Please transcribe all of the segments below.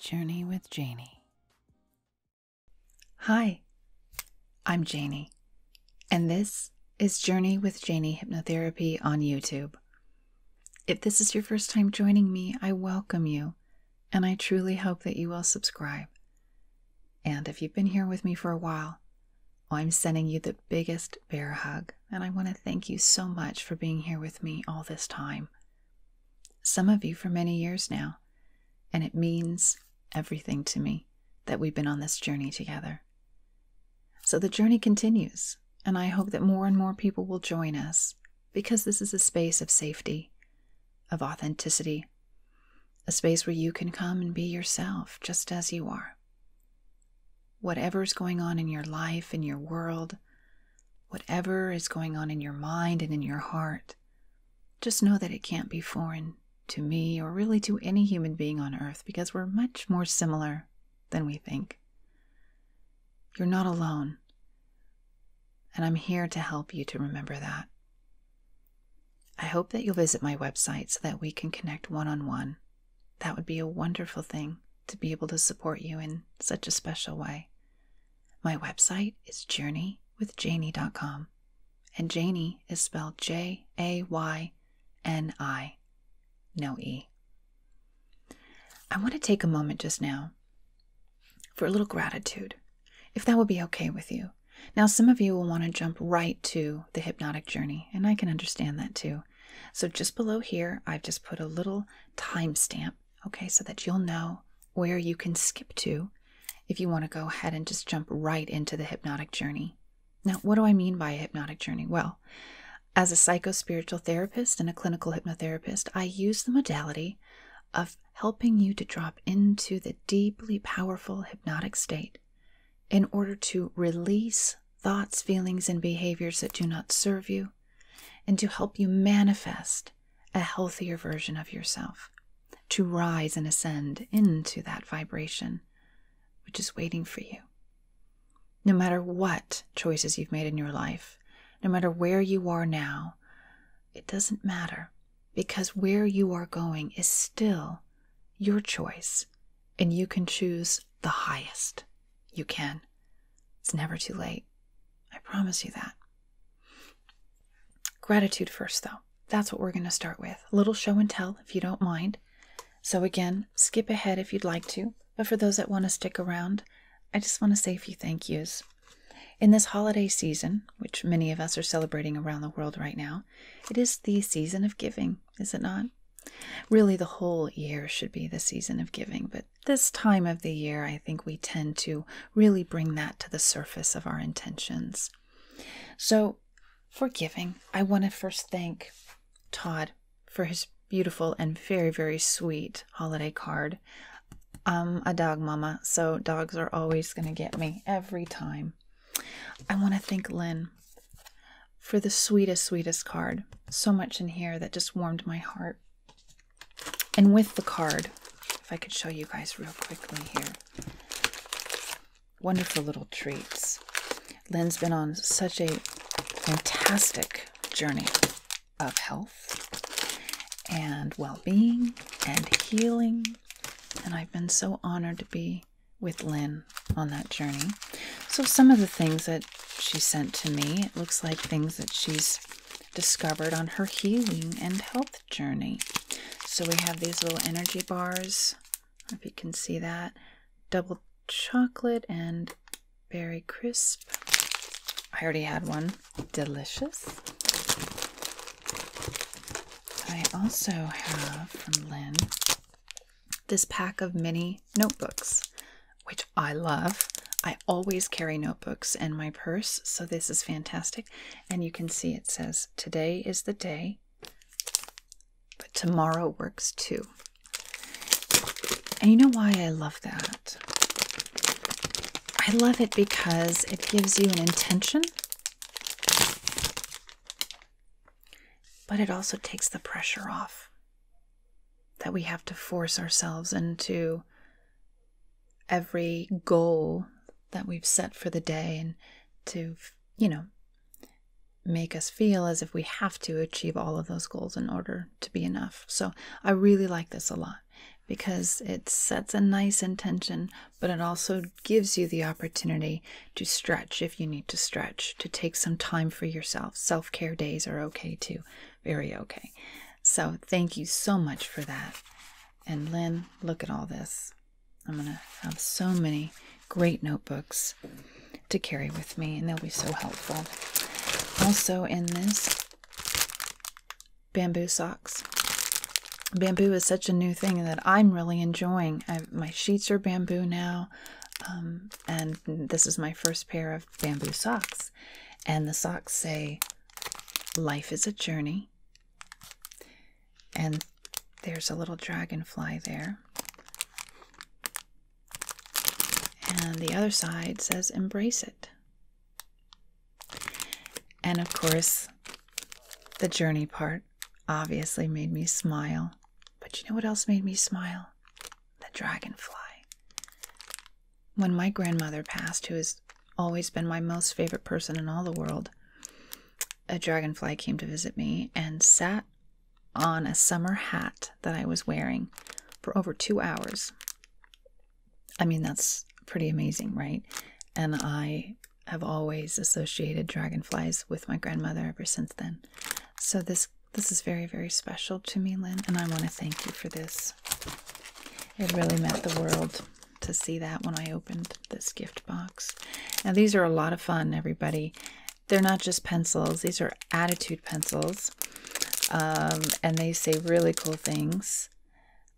Journey with Janie. Hi, I'm Janie, and this is Journey with Janie Hypnotherapy on YouTube. If this is your first time joining me, I welcome you, and I truly hope that you will subscribe. And if you've been here with me for a while, I'm sending you the biggest bear hug, and I want to thank you so much for being here with me all this time. Some of you for many years now, and it means everything to me that we've been on this journey together. So the journey continues, and I hope that more and more people will join us because this is a space of safety, of authenticity, a space where you can come and be yourself just as you are. Whatever is going on in your life, in your world, whatever is going on in your mind and in your heart, just know that it can't be foreign to me or really to any human being on earth because we're much more similar than we think. You're not alone. And I'm here to help you to remember that. I hope that you'll visit my website so that we can connect one on one that would be a wonderful thing to be able to support you in such a special way. My website is journeywithjanie.com, and Janie is spelled J A Y N I, no E. I want to take a moment just now for a little gratitude, if that would be okay with you. Now, some of you will want to jump right to the hypnotic journey, and I can understand that too. So, just below here, I've just put a little timestamp, okay, so that you'll know where you can skip to if you want to go ahead and just jump right into the hypnotic journey. Now, what do I mean by a hypnotic journey? Well, as a psycho spiritual therapist and a clinical hypnotherapist, I use the modality of helping you to drop into the deeply powerful hypnotic state in order to release thoughts, feelings, and behaviors that do not serve you, and to help you manifest a healthier version of yourself, to rise and ascend into that vibration which is waiting for you. No matter what choices you've made in your life, no matter where you are now, it doesn't matter because where you are going is still your choice and you can choose the highest. You can. It's never too late. I promise you that. Gratitude first, though. That's what we're going to start with. A little show and tell, if you don't mind. So, again, skip ahead if you'd like to. But for those that want to stick around, I just want to say a few thank yous. In this holiday season, which many of us are celebrating around the world right now, it is the season of giving is it not? Really, the whole year should be the season of giving, but this time of the year, I think we tend to really bring that to the surface of our intentions. So, for giving, I want to first thank Todd for his beautiful and very, very sweet holiday card. I'm a dog mama, so dogs are always going to get me every time. I want to thank Lynn for the sweetest, sweetest card. So much in here that just warmed my heart. And with the card, if I could show you guys real quickly here, wonderful little treats. Lynn's been on such a fantastic journey of health and well being and healing. And I've been so honored to be with Lynn on that journey. So, some of the things that she sent to me, it looks like things that she's discovered on her healing and health journey. So, we have these little energy bars, if you can see that, double chocolate and berry crisp. I already had one, delicious. I also have from Lynn this pack of mini notebooks, which I love. I always carry notebooks in my purse, so this is fantastic. And you can see it says, Today is the day, but tomorrow works too. And you know why I love that? I love it because it gives you an intention but it also takes the pressure off that we have to force ourselves into every goal that we've set for the day and to, you know, make us feel as if we have to achieve all of those goals in order to be enough. So I really like this a lot because it sets a nice intention, but it also gives you the opportunity to stretch if you need to stretch, to take some time for yourself. Self care days are okay too, very okay. So, thank you so much for that. And Lynn, look at all this. I'm going to have so many great notebooks to carry with me, and they'll be so helpful. Also, in this, bamboo socks. Bamboo is such a new thing that I'm really enjoying. my sheets are bamboo now. Um, and this is my first pair of bamboo socks. And the socks say, Life is a journey. And there's a little dragonfly there. And the other side says, Embrace it. And of course, the journey part obviously made me smile. But you know what else made me smile? the dragonfly. When my grandmother passed, who has always been my most favorite person in all the world, a dragonfly came to visit me and sat on a summer hat that I was wearing for over two hours. I mean, that's pretty amazing, right? And I have always associated dragonflies with my grandmother ever since then. So this this is very, very special to me, Lynn, and I want to thank you for this. It really meant the world to see that when I opened this gift box. Now, these are a lot of fun, everybody. They're not just pencils, these are attitude pencils, um, and they say really cool things.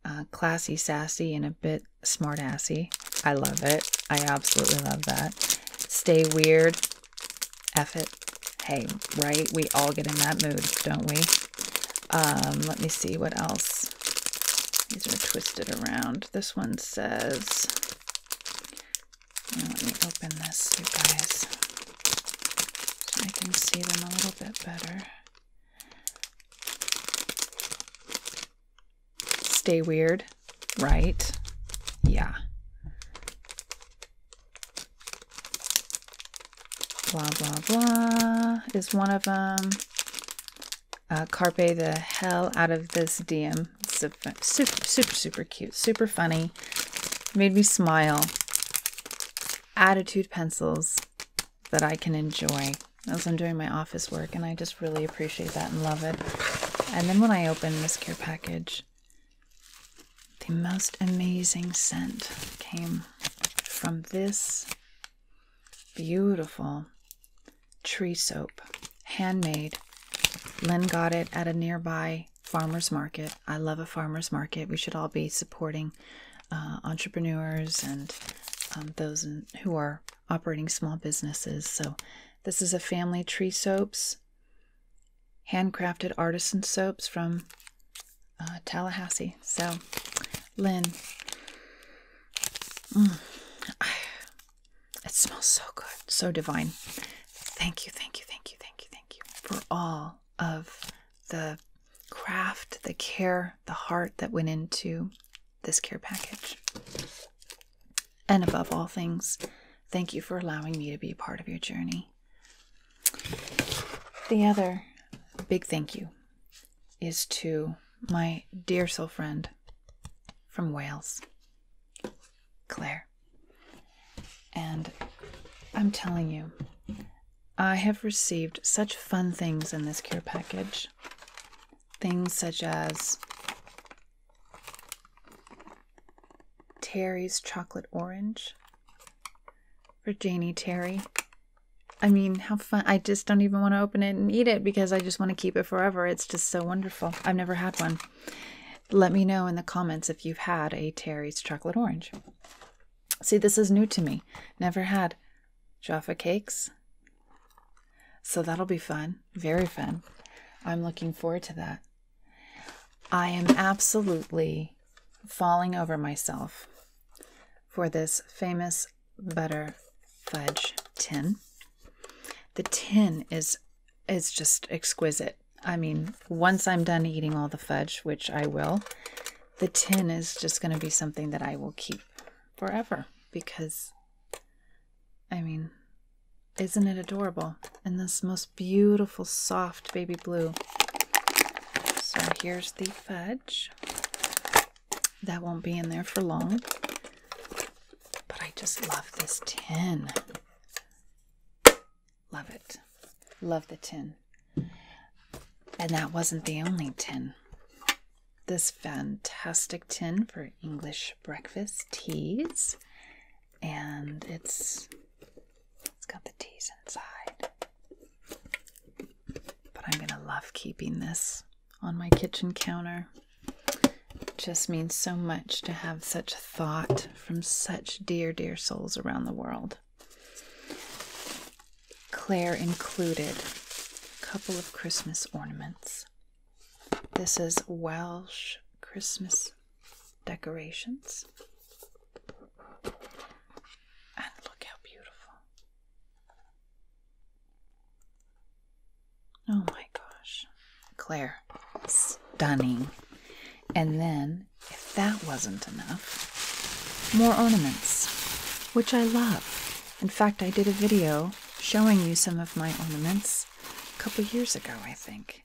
Uh, classy, sassy, and a bit smart assy. I love it. I absolutely love that. Stay weird. F it. Hey, right? We all get in that mood, don't we? Um, let me see what else. These are twisted around. This one says, let me open this, you guys, I can see them a little bit better. Stay weird, right? Yeah. Blah, blah, blah is one of them. Um, uh, carpe the hell out of this DM. Super, super, super, super cute, super funny. Made me smile. Attitude pencils that I can enjoy as I'm doing my office work, and I just really appreciate that and love it. And then when I open this care package, the most amazing scent came from this beautiful tree soap, handmade. Lynn got it at a nearby farmer's market. I love a farmer's market. We should all be supporting uh, entrepreneurs and um, those who are operating small businesses. So, this is a family tree soaps handcrafted artisan soaps from uh, Tallahassee. So, Lynn, mm, it smells so good, so divine. Thank you, thank you, thank you, thank you, thank you for all of the craft, the care, the heart that went into this care package. And above all things, thank you for allowing me to be a part of your journey. The other big thank you is to my dear soul friend from Wales, Claire. And I'm telling you, I have received such fun things in this care package. Things such as Terry's chocolate orange for Janie Terry. I mean, how fun. I just don't even want to open it and eat it because I just want to keep it forever. It's just so wonderful. I've never had one. Let me know in the comments if you've had a Terry's chocolate orange. See, this is new to me. Never had Jaffa cakes. So that'll be fun. Very fun. I'm looking forward to that. I am absolutely falling over myself for this famous butter fudge tin. The tin is is just exquisite. I mean, once I'm done eating all the fudge, which I will, the tin is just going to be something that I will keep forever because I mean, isn't it adorable? in this most beautiful soft baby blue. So here's the fudge. That won't be in there for long. But I just love this tin. Love it. Love the tin. And that wasn't the only tin. This fantastic tin for English breakfast teas and it's it's got the teas inside. But I'm gonna love keeping this on my kitchen counter. It just means so much to have such thought from such dear, dear souls around the world. Claire included a couple of Christmas ornaments. This is Welsh Christmas decorations. And look how beautiful. Oh my gosh. Claire, stunning. And then, if that wasn't enough, more ornaments, which I love. In fact, I did a video showing you some of my ornaments a couple years ago, I think.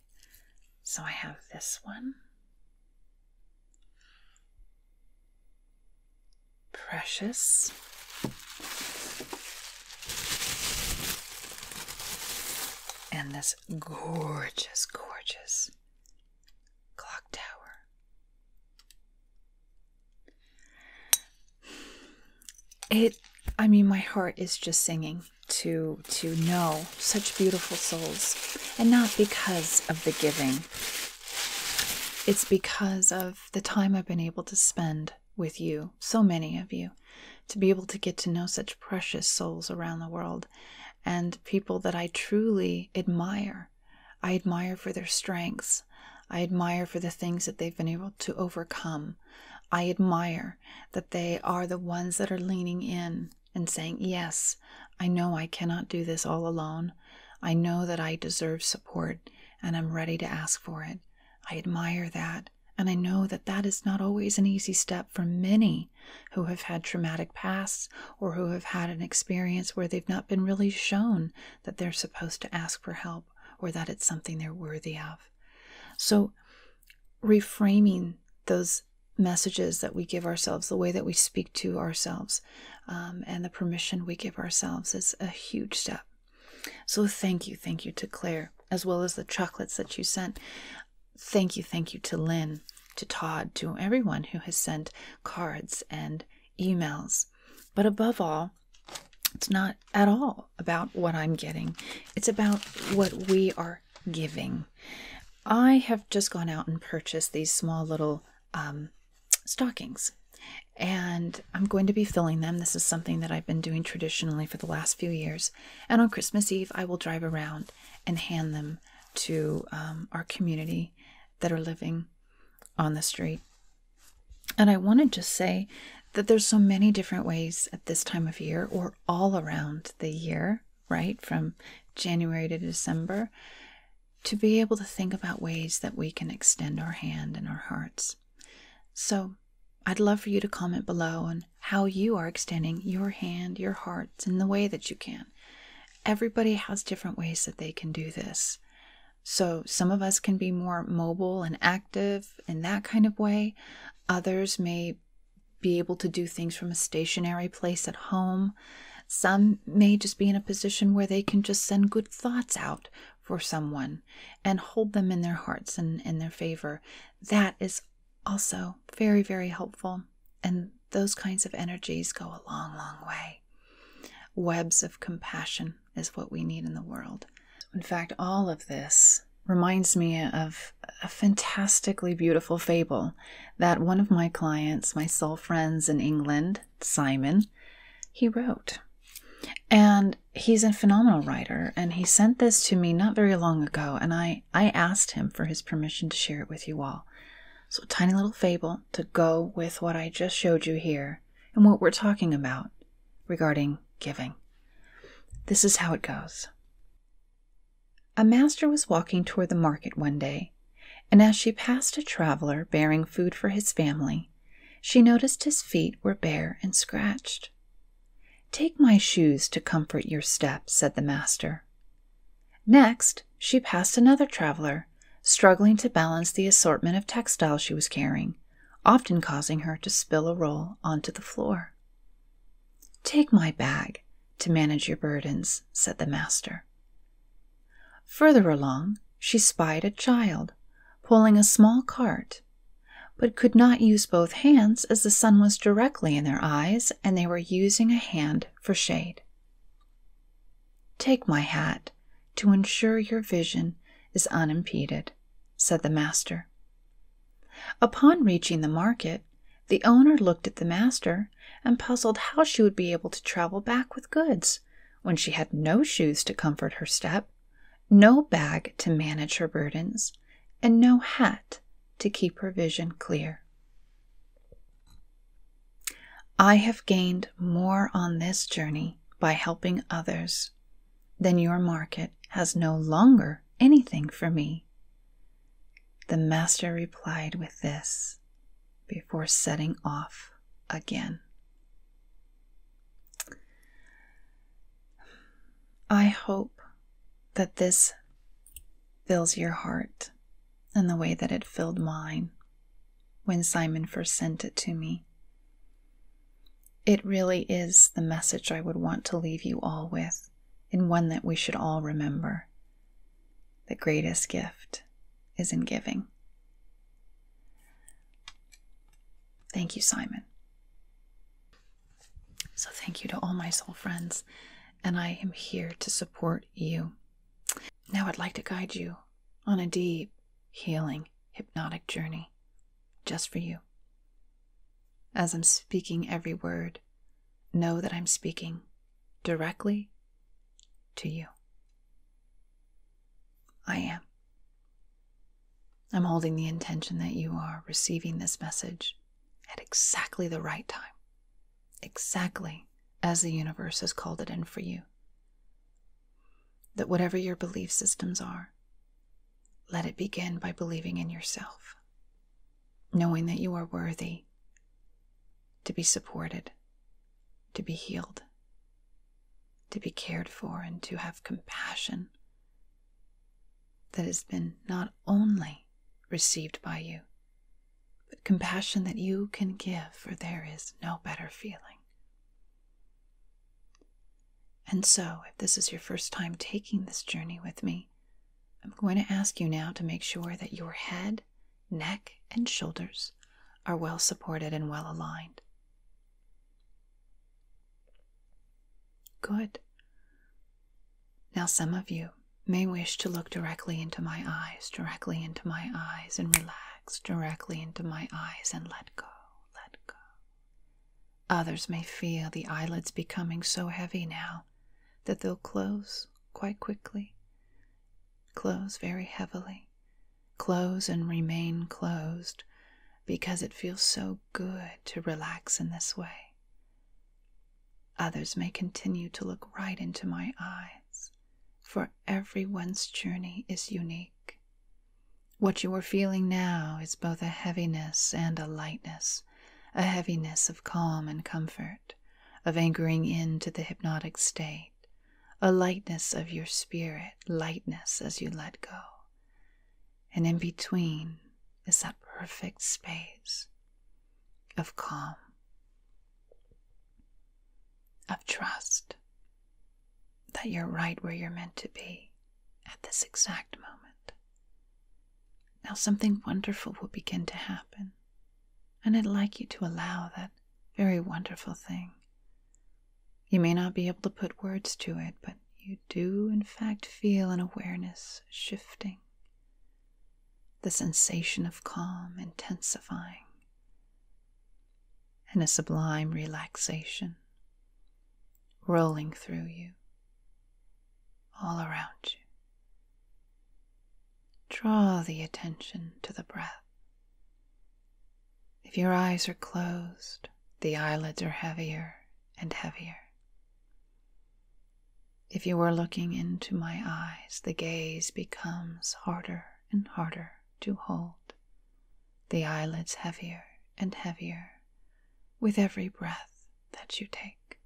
So I have this one. Precious. And this gorgeous, gorgeous clock tower. It, I mean, my heart is just singing to to know such beautiful souls and not because of the giving it's because of the time i've been able to spend with you so many of you to be able to get to know such precious souls around the world and people that i truly admire i admire for their strengths i admire for the things that they've been able to overcome i admire that they are the ones that are leaning in and saying, Yes, I know I cannot do this all alone. I know that I deserve support and I'm ready to ask for it. I admire that. And I know that that is not always an easy step for many who have had traumatic pasts or who have had an experience where they've not been really shown that they're supposed to ask for help or that it's something they're worthy of. So, reframing those messages that we give ourselves, the way that we speak to ourselves, um, and the permission we give ourselves is a huge step. So, thank you, thank you to Claire, as well as the chocolates that you sent. Thank you, thank you to Lynn, to Todd, to everyone who has sent cards and emails. But above all, it's not at all about what I'm getting. It's about what we are giving. I have just gone out and purchased these small little um, stockings, and I'm going to be filling them. This is something that I've been doing traditionally for the last few years. And on Christmas Eve, I will drive around and hand them to um, our community that are living on the street. And I wanted to say that there's so many different ways at this time of year or all around the year right, from January to December, to be able to think about ways that we can extend our hand and our hearts. So, I'd love for you to comment below on how you are extending your hand, your hearts, in the way that you can. Everybody has different ways that they can do this. So, some of us can be more mobile and active in that kind of way. Others may be able to do things from a stationary place at home. Some may just be in a position where they can just send good thoughts out for someone and hold them in their hearts and in their favor. That is also very, very helpful. And those kinds of energies go a long, long way. Webs of compassion is what we need in the world. In fact, all of this reminds me of a fantastically beautiful fable that one of my clients, my sole friends in England, Simon, he wrote. And he's a phenomenal writer, and he sent this to me not very long ago, and I, I asked him for his permission to share it with you all. So, tiny little fable to go with what I just showed you here and what we're talking about regarding giving. This is how it goes. A master was walking toward the market one day, and as she passed a traveler bearing food for his family, she noticed his feet were bare and scratched. Take my shoes to comfort your step, said the master. Next, she passed another traveler, struggling to balance the assortment of textiles she was carrying, often causing her to spill a roll onto the floor. Take my bag to manage your burdens, said the master. Further along, she spied a child pulling a small cart, but could not use both hands as the sun was directly in their eyes and they were using a hand for shade. Take my hat to ensure your vision is unimpeded, said the master. Upon reaching the market, the owner looked at the master and puzzled how she would be able to travel back with goods when she had no shoes to comfort her step, no bag to manage her burdens, and no hat to keep her vision clear. I have gained more on this journey by helping others than your market has no longer anything for me. The master replied with this before setting off again. I hope that this fills your heart in the way that it filled mine when Simon first sent it to me. It really is the message I would want to leave you all with, and one that we should all remember. The greatest gift is in giving. Thank you, Simon. So, thank you to all my soul friends, and I am here to support you. Now, I'd like to guide you on a deep, healing, hypnotic journey just for you. As I'm speaking every word, know that I'm speaking directly to you. I am. I'm holding the intention that you are receiving this message at exactly the right time, exactly as the universe has called it in for you. That whatever your belief systems are, let it begin by believing in yourself, knowing that you are worthy, to be supported, to be healed, to be cared for, and to have compassion that has been not only received by you, but compassion that you can give, for there is no better feeling. And so, if this is your first time taking this journey with me, I'm going to ask you now to make sure that your head neck, and shoulders are well supported and well aligned. Good. Now, some of you may wish to look directly into my eyes, directly into my eyes, and relax directly into my eyes and let go, let go. Others may feel the eyelids becoming so heavy now that they'll close quite quickly Close very heavily. Close and remain closed because it feels so good to relax in this way. Others may continue to look right into my eyes, for everyone's journey is unique. What you are feeling now is both a heaviness and a lightness, a heaviness of calm and comfort of anchoring into the hypnotic state, a lightness of your spirit, lightness as you let go. And in between is that perfect space of calm, of trust that you're right where you're meant to be at this exact moment. Now, something wonderful will begin to happen and I'd like you to allow that very wonderful thing. You may not be able to put words to it, but you do, in fact, feel an awareness shifting, the sensation of calm intensifying, and a sublime relaxation rolling through you, all around you. Draw the attention to the breath. If your eyes are closed, the eyelids are heavier and heavier. If you are looking into my eyes, the gaze becomes harder and harder to hold, the eyelids heavier and heavier with every breath that you take,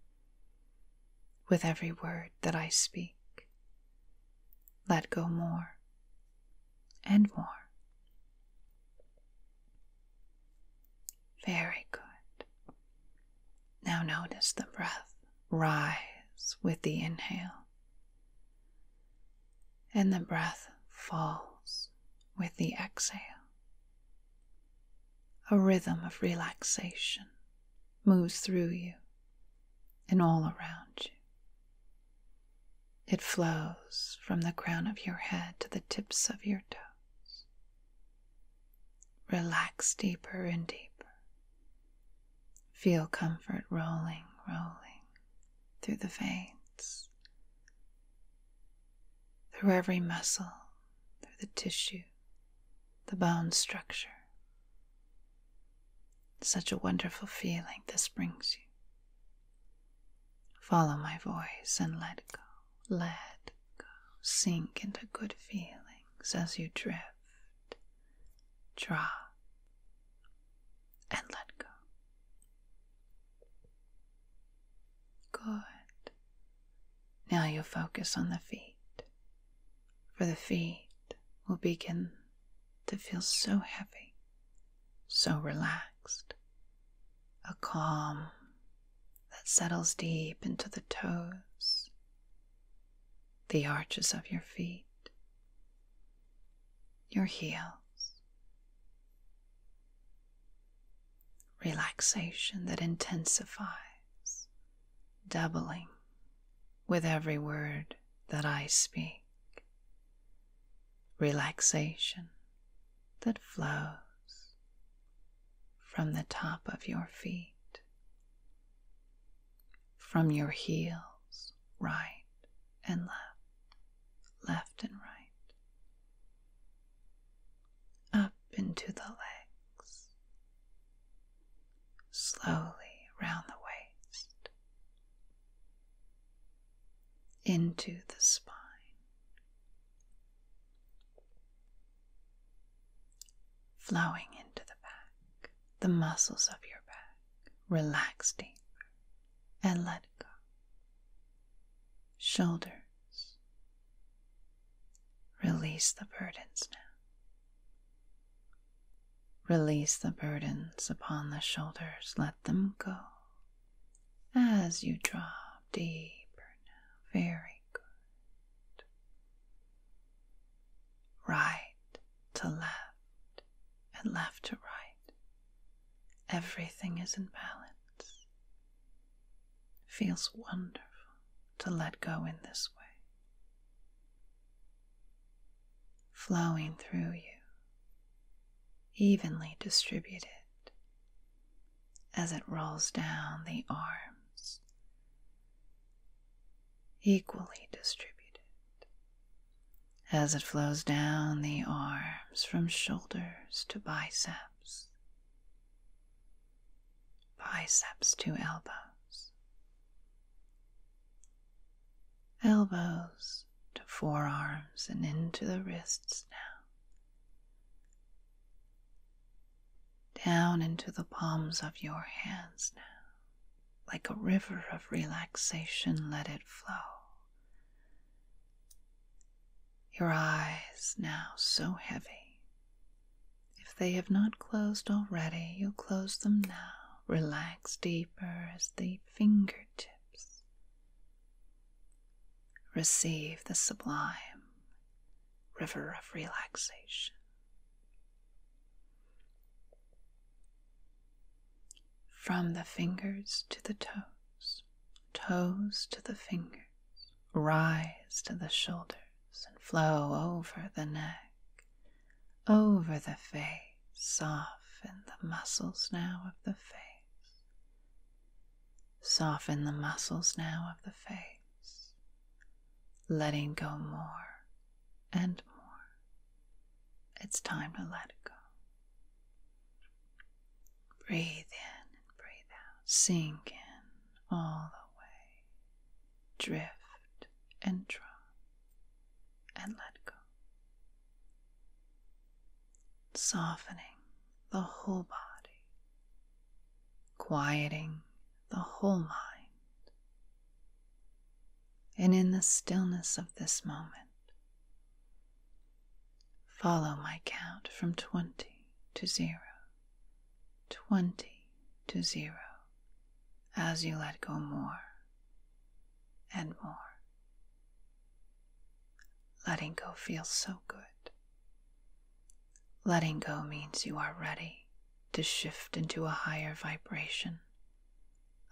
with every word that I speak let go more and more. Very good. Now notice the breath rise with the inhale, and the breath falls with the exhale. A rhythm of relaxation moves through you and all around you. It flows from the crown of your head to the tips of your toes. Relax deeper and deeper. Feel comfort rolling, rolling through the veins, through every muscle, through the tissue, the bone structure. Such a wonderful feeling this brings you. Follow my voice and let go, let go. Sink into good feelings as you drift, draw, and let go. Good. Now you focus on the feet for the feet will begin to feel so heavy, so relaxed. A calm that settles deep into the toes, the arches of your feet, your heels. Relaxation that intensifies, doubling with every word that I speak, relaxation that flows from the top of your feet. From your heels, right and left, left and right, up into the legs, slowly round the waist, into the spine. Flowing into the back, the muscles of your back. Relax deeper and let go. Shoulders. Release the burdens now. Release the burdens upon the shoulders, let them go. As you drop deeper very good. Right to left and left to right. Everything is in balance. Feels wonderful to let go in this way flowing through you, evenly distributed as it rolls down the arms, equally distributed as it flows down the arms from shoulders to biceps, biceps to elbows, elbows to forearms and into the wrists now. Down into the palms of your hands now. Like a river of relaxation, let it flow. Your eyes now so heavy. If they have not closed already, you close them now relax deeper as the fingertips. Receive the sublime river of relaxation. From the fingers to the toes, toes to the fingers, rise to the shoulders and flow over the neck, over the face, soften the muscles now of the face, soften the muscles now of the face, letting go more and more. It's time to let it go. Breathe in and breathe out, sink in all the way, drift and drop and let go. Softening the whole body, quieting the whole mind. And in the stillness of this moment, follow my count from 20 to 0, 20 to 0, as you let go more and more. Letting go feels so good. Letting go means you are ready to shift into a higher vibration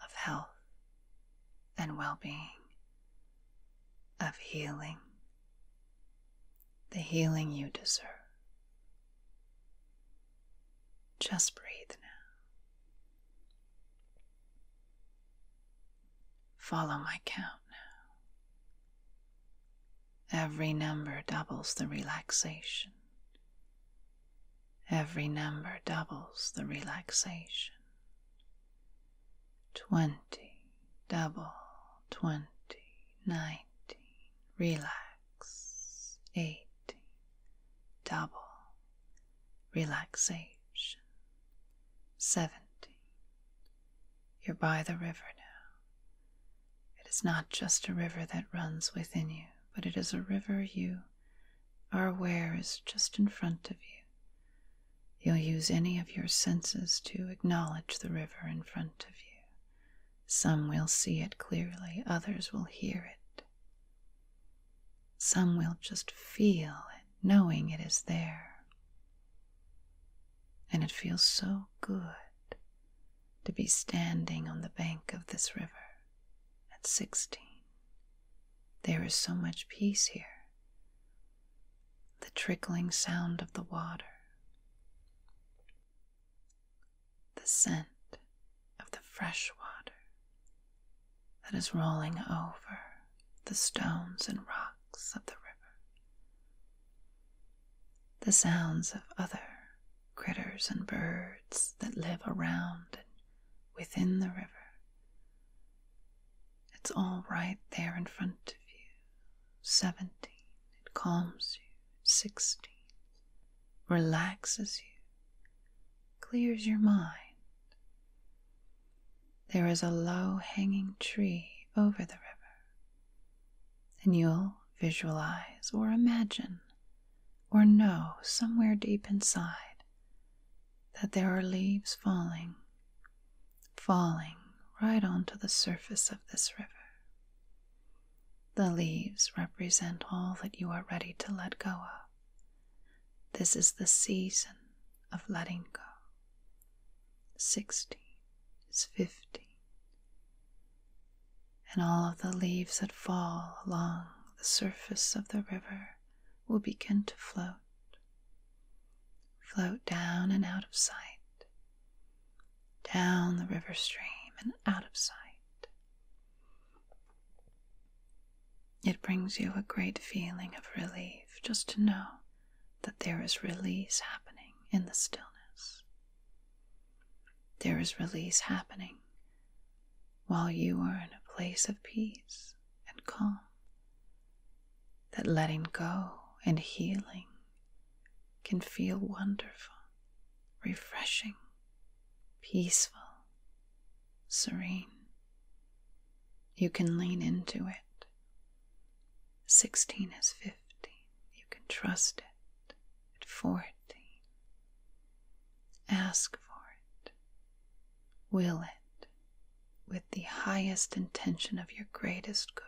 of health and well being, of healing, the healing you deserve. Just breathe now. Follow my count now. Every number doubles the relaxation. Every number doubles the relaxation. Twenty, double, twenty, nineteen, relax, eighty double, relaxation. 70 You're by the river now. It is not just a river that runs within you, but it is a river you are aware is just in front of you. You'll use any of your senses to acknowledge the river in front of you. Some will see it clearly, others will hear it. Some will just feel it, knowing it is there. And it feels so good to be standing on the bank of this river at 16. There is so much peace here. The trickling sound of the water, the scent of the fresh water, that is rolling over the stones and rocks of the river. The sounds of other critters and birds that live around and within the river. It's all right there in front of you. Seventeen, it calms you. Sixteen, relaxes you, clears your mind. There is a low hanging tree over the river, and you'll visualize or imagine or know somewhere deep inside that there are leaves falling, falling right onto the surface of this river. The leaves represent all that you are ready to let go of this is the season of letting go. 16 is 15. And all of the leaves that fall along the surface of the river will begin to float, float down and out of sight, down the river stream and out of sight. It brings you a great feeling of relief just to know that there is release happening in the stillness. There is release happening while you are in a place of peace and calm. That letting go and healing can feel wonderful, refreshing, peaceful, serene. You can lean into it. 16 is 15. You can trust it at 14. Ask for it. Will it with the highest intention of your greatest good.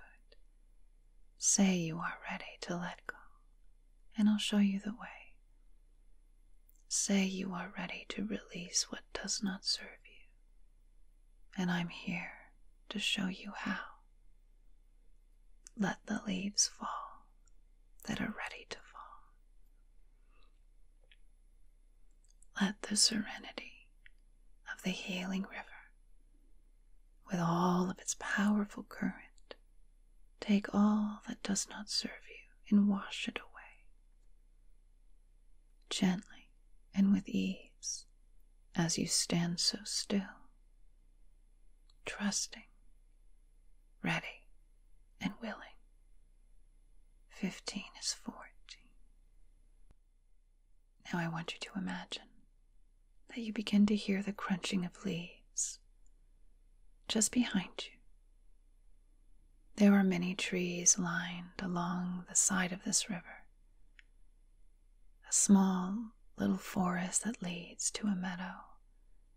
Say you are ready to let go, and I'll show you the way. Say you are ready to release what does not serve you, and I'm here to show you how. Let the leaves fall that are ready to fall. Let the serenity of the healing river, with all of its powerful current, take all that does not serve you and wash it away gently and with ease as you stand so still, trusting, ready, and willing. Fifteen is fourteen. Now I want you to imagine that you begin to hear the crunching of leaves just behind you there are many trees lined along the side of this river, a small little forest that leads to a meadow,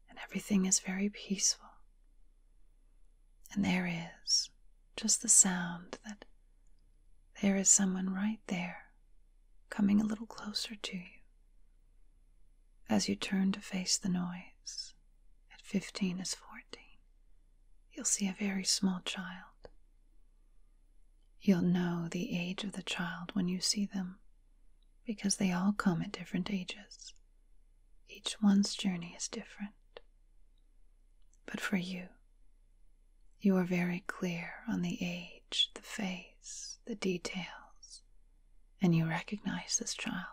and everything is very peaceful. And there is just the sound that there is someone right there coming a little closer to you as you turn to face the noise at fifteen is fourteen, you'll see a very small child. You'll know the age of the child when you see them, because they all come at different ages. Each one's journey is different. But for you, you are very clear on the age, the face, the details, and you recognize this child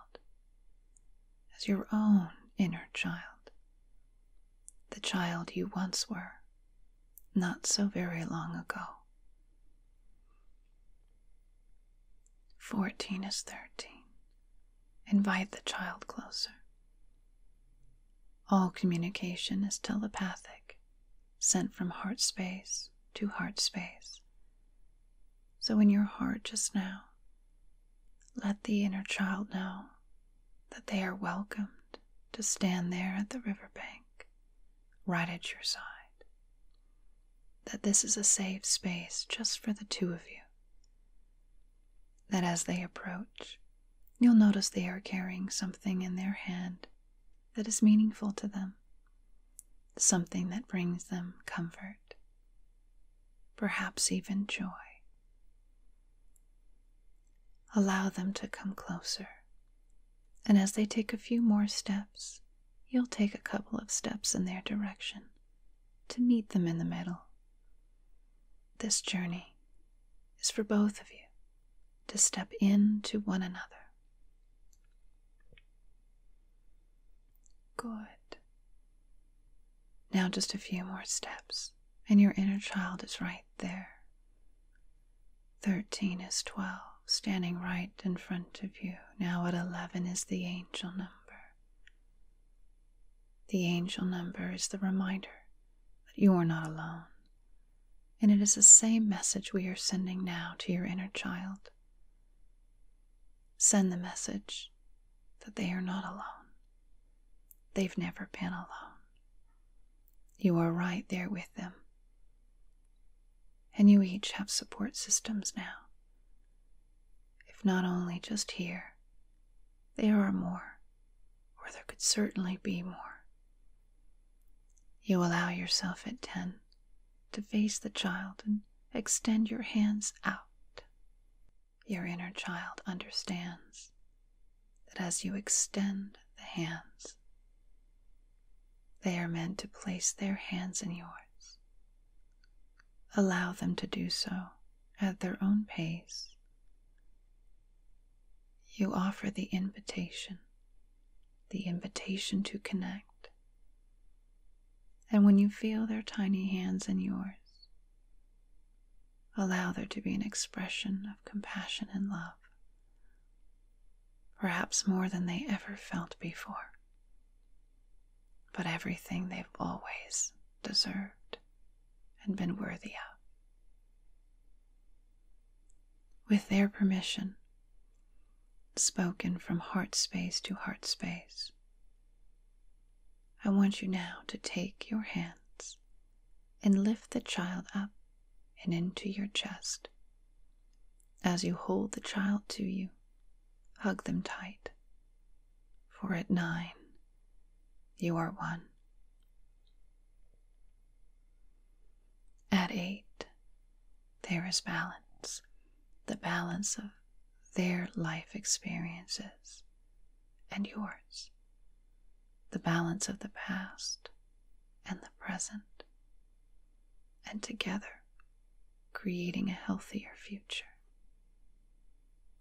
as your own inner child the child you once were not so very long ago. 14 is 13. Invite the child closer. All communication is telepathic, sent from heart space to heart space. So, in your heart just now, let the inner child know that they are welcomed to stand there at the riverbank, right at your side. That this is a safe space just for the two of you. That as they approach, you'll notice they are carrying something in their hand that is meaningful to them, something that brings them comfort perhaps even joy. Allow them to come closer. And as they take a few more steps, you'll take a couple of steps in their direction to meet them in the middle. This journey is for both of you to step into one another. Good. Now, just a few more steps, and your inner child is right there. Thirteen is twelve, standing right in front of you. Now, at eleven is the angel number. The angel number is the reminder that you are not alone, and it is the same message we are sending now to your inner child. Send the message that they are not alone. They've never been alone. You are right there with them. And you each have support systems now. If not only just here, there are more, or there could certainly be more. You allow yourself at 10 to face the child and extend your hands out your inner child understands that as you extend the hands, they are meant to place their hands in yours. Allow them to do so at their own pace. You offer the invitation, the invitation to connect. And when you feel their tiny hands in yours, Allow there to be an expression of compassion and love, perhaps more than they ever felt before, but everything they've always deserved and been worthy of. With their permission, spoken from heart space to heart space, I want you now to take your hands and lift the child up and into your chest. As you hold the child to you, hug them tight. For at nine, you are one. At eight, there is balance, the balance of their life experiences and yours the balance of the past and the present, and together creating a healthier future.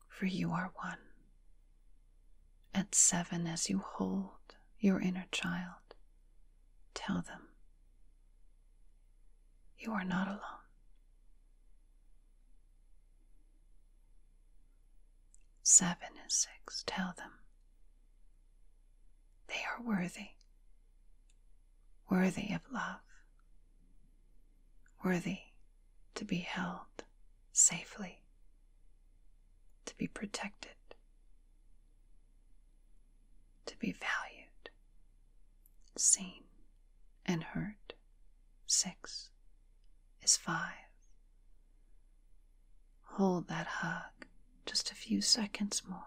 For you are one. At seven, as you hold your inner child, tell them you are not alone. Seven and six, tell them they are worthy, worthy of love, worthy to be held safely, to be protected, to be valued, seen and heard. Six is five. Hold that hug just a few seconds more.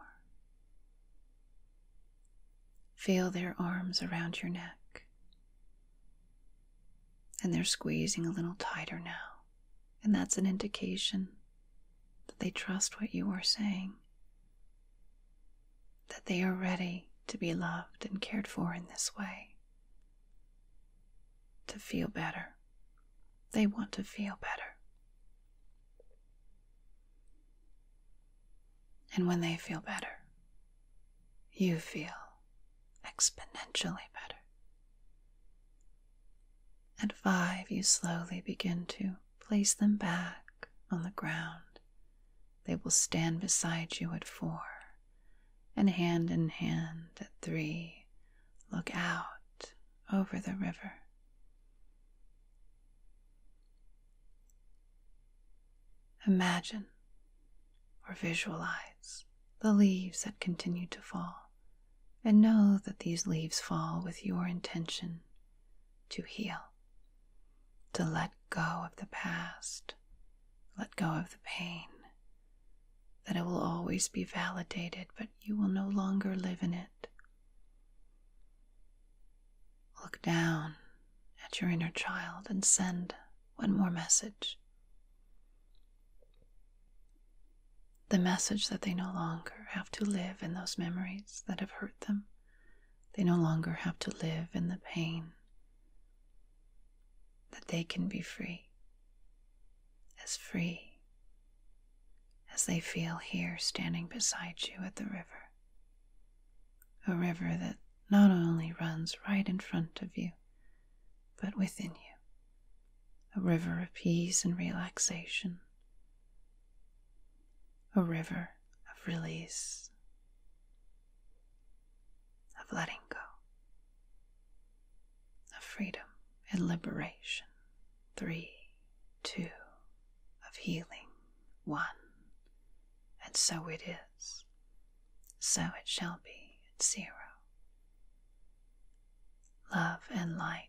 Feel their arms around your neck. And they're squeezing a little tighter now. And that's an indication that they trust what you are saying, that they are ready to be loved and cared for in this way to feel better. They want to feel better. And when they feel better, you feel exponentially better. At five, you slowly begin to place them back on the ground. They will stand beside you at four and hand in hand at three look out over the river. Imagine or visualize the leaves that continue to fall, and know that these leaves fall with your intention to heal, to let go of the past, let go of the pain, that it will always be validated, but you will no longer live in it. Look down at your inner child and send one more message. The message that they no longer have to live in those memories that have hurt them. They no longer have to live in the pain that they can be free, as free as they feel here standing beside you at the river, a river that not only runs right in front of you, but within you, a river of peace and relaxation, a river of release, of letting go of freedom and liberation. Three, two, of healing. One. And so it is. So it shall be at zero. Love and light.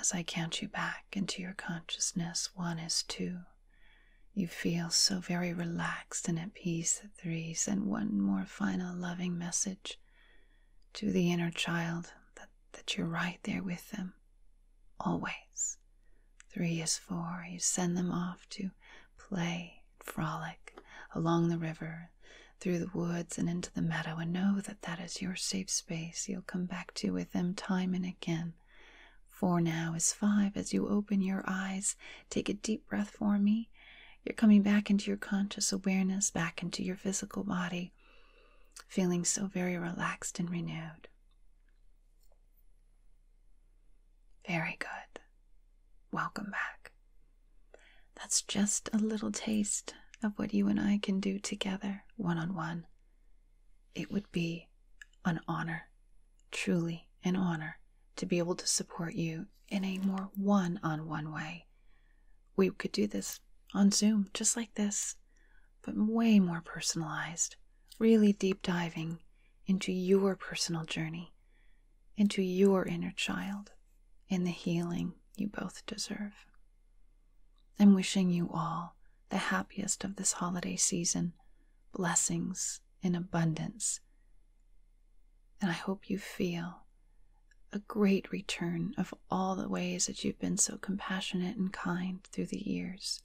As I count you back into your consciousness, one is two. You feel so very relaxed and at peace three send one more final loving message to the inner child that, that you're right there with them. Always. Three is four. You send them off to play, and frolic along the river, through the woods, and into the meadow, and know that that is your safe space you'll come back to with them time and again. Four now is five as you open your eyes Take a deep breath for me. You're coming back into your conscious awareness, back into your physical body, feeling so very relaxed and renewed. Very good. Welcome back. That's just a little taste of what you and I can do together, one on one. It would be an honor, truly an honor, to be able to support you in a more one on one way. We could do this on Zoom, just like this, but way more personalized, really deep diving into your personal journey, into your inner child, and the healing you both deserve. I'm wishing you all the happiest of this holiday season, blessings in abundance and I hope you feel a great return of all the ways that you've been so compassionate and kind through the years.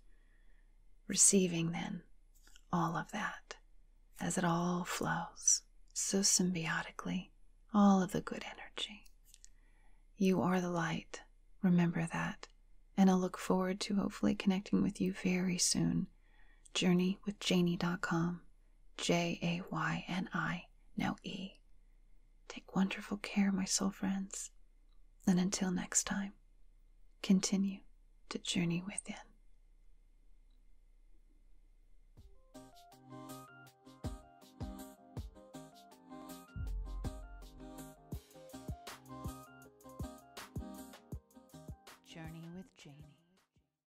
Receiving then all of that as it all flows so symbiotically, all of the good energy. You are the light, remember that, and I will look forward to hopefully connecting with you very soon journeywithjanie.com, J A Y N I, now E. Take wonderful care, my soul friends, and until next time, continue to journey within. Journey with Janie.